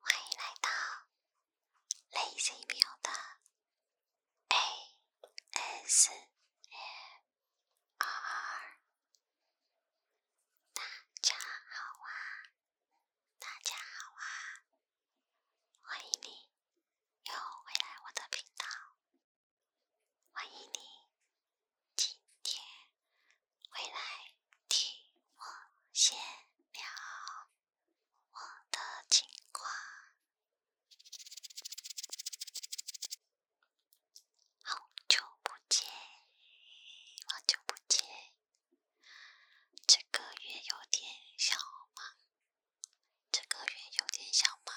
欢迎来到 Lazy 的 A S m R。大家好啊，大家好啊，欢迎你又回来我的频道，欢迎你今天。回来替我写了我的情况。好久不见，好久不见。这个月有点小忙，这个月有点小忙。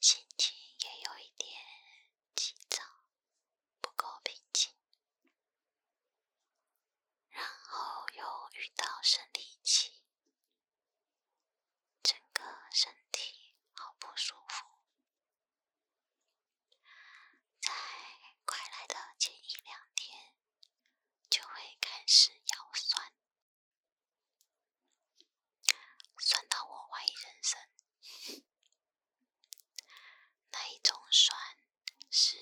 心情也有一点。起早不够平静，然后又遇到生理期，整个身体好不舒服。在快来的前一两天，就会开始腰酸，酸到我怀疑人生。那一种酸，是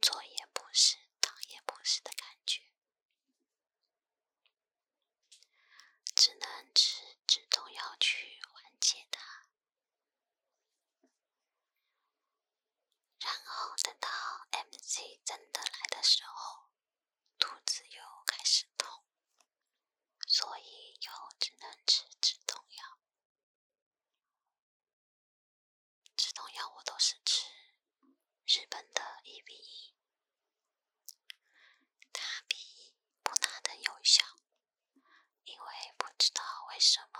坐也不是，躺也不是的感觉，只能吃止痛药去缓解它。然后等到 MC 真的来的时候。肚子又开始痛，所以又只能吃止痛药。止痛药我都是吃日本的一比一，它比布纳的有效，因为不知道为什么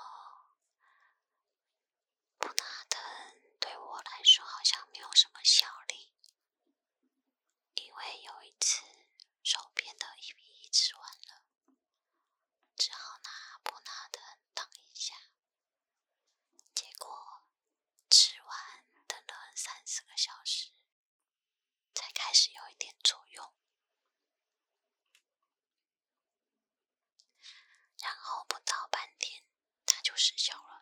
不纳登对我来说好像没有什么效力。因为有一次手边的一比吃完了，只好拿不拿的等一下。结果吃完等了三四个小时，才开始有一点作用，然后不到半天它就失效了。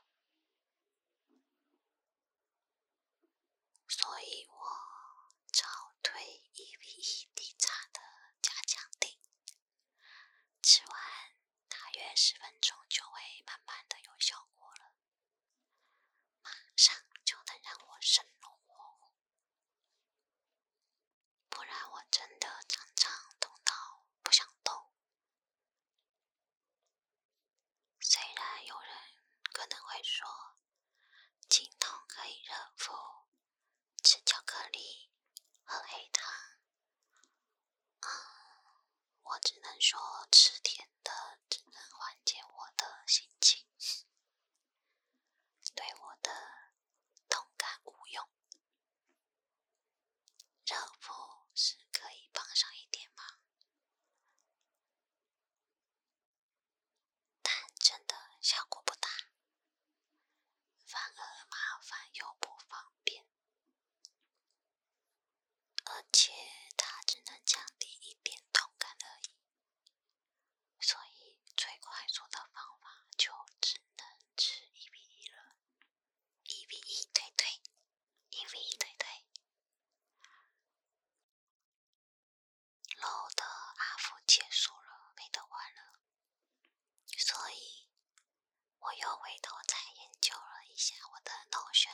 所以我早推一 v 一地炸的加强顶，吃完大约十分钟就会慢慢的有效果了，马上就能让我生龙活虎，不然我真的常常痛到不想动。虽然有人可能会说，疼痛可以热敷、吃巧克力、喝黑糖，啊，我只能说吃甜的只能缓解我的心情，对我的痛感无用。肉不是可以帮上一点忙，但真的效果不大，反而麻烦又不方便，而且它只能降低一点痛感而已，所以最快速的方法就只能吃一比一了。一 v 一推推，一 v 一推推。老的阿福结束了，没得玩了，所以我又回头再研究了一下我的脑神，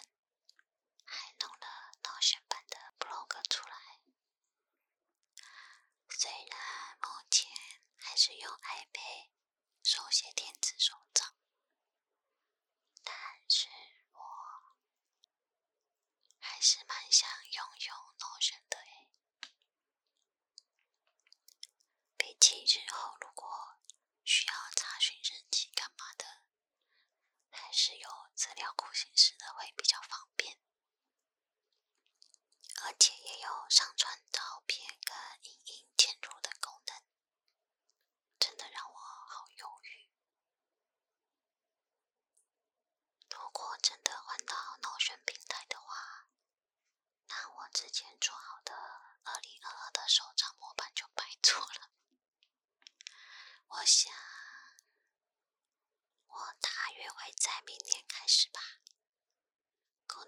还弄了脑神版的 blog 出来。虽然目前还是用 iPad。手写电子手账，但是我还是蛮想拥有 notion 的诶。毕竟日后如果需要查询日期干嘛的，还是有资料库形式的会比较方便。而且也有上传照片跟影音嵌入的功能，真的让我好犹豫。如果真的换到脑眩平台的话，那我之前做好的二零二二的手账模板就白做了。我想，我大约会在明年开始吧。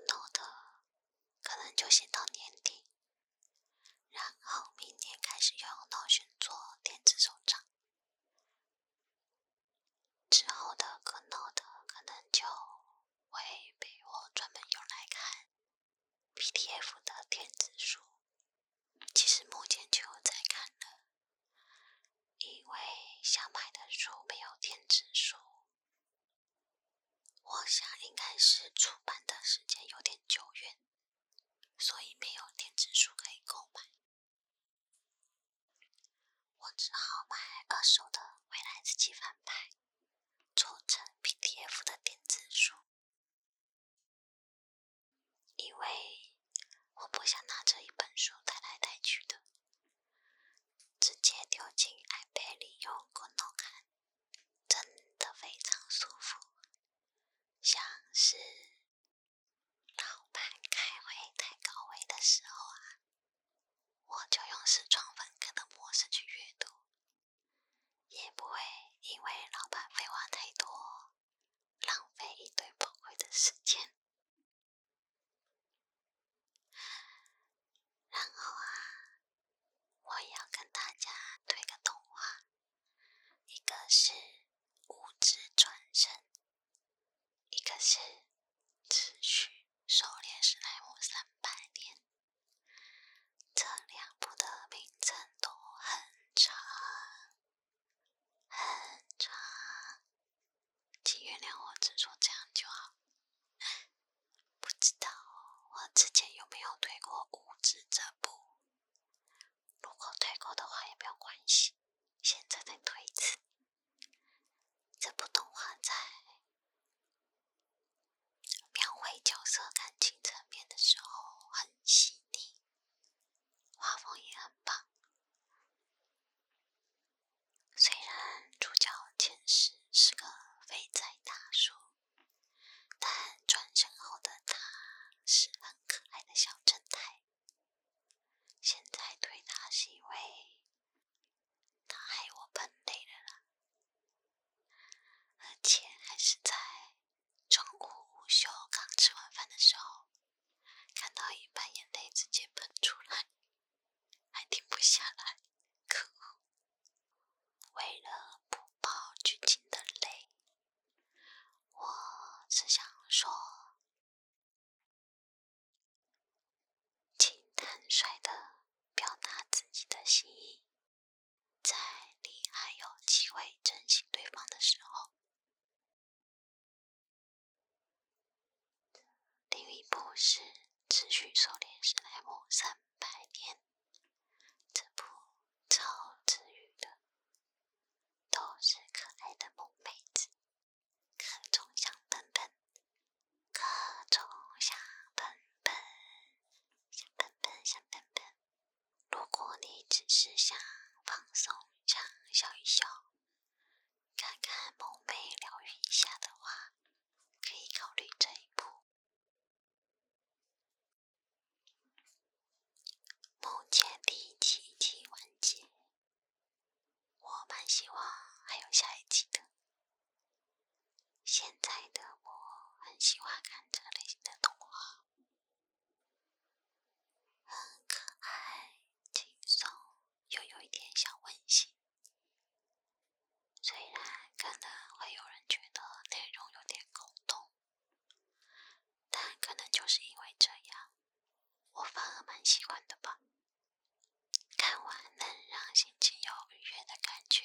Note 的可能就先到年底，然后明年开始用 Notion 做电子手账。之后的 Note 可能就会被我专门用来看 PDF 的电子书，其实目前就在看了。因为想买的书没有电子书，我想应该是出版的时间有点久远，所以没有电子书可以购买。我只好买二手的《未来日记》翻拍，做成 PDF 的电子书，因为。我不想拿着一本书带来带去的，直接丢进 iPad 里用 k i n 看，真的非常舒服。像是老板开会太高位的时候啊，我就用视窗分割的模式去阅读，也不会因为老板废话太多，浪费一堆宝贵的时间。然后啊，我要跟大家推个动画，一个是《物质转身》，一个是《持续狩猎史莱姆三百年》。这两部的名称都很长。很长，请原谅我只说这样就好。不知道我之前有没有退过《五知》这部？如果退过的话也没有关系，现在再退一次。这部动画在描绘角色感情层面的时候很细腻。画风也很棒，虽然主角前世是个肥宅大叔，但转身后的他是很可爱的小正太。现在对他是因为他爱我喷泪了，而且还是在。中午午休刚吃完饭的时候，看到一半眼泪直接喷出来，还停不下来。可为了不爆剧情的泪，我只想说，请坦率的表达自己的心意。在你还有机会珍惜对方的时候，另一部是持续狩猎史莱姆三百天，这部超治愈的，都是可爱的萌妹子，各种香喷喷，各种香喷喷，香喷喷，香喷喷。如果你只是想放松、畅笑一笑、看看梦寐、疗愈一下的话，可以考虑这一步。目前第一季已完结，我蛮希望还有下一季的。现在的我很喜欢看这类型的动画，很可爱、轻松，又有一点小温馨。虽然可能会有人觉得内容有点空洞，但可能就是因为这样，我反而蛮喜欢的吧。看完能让心情有愉悦的感觉。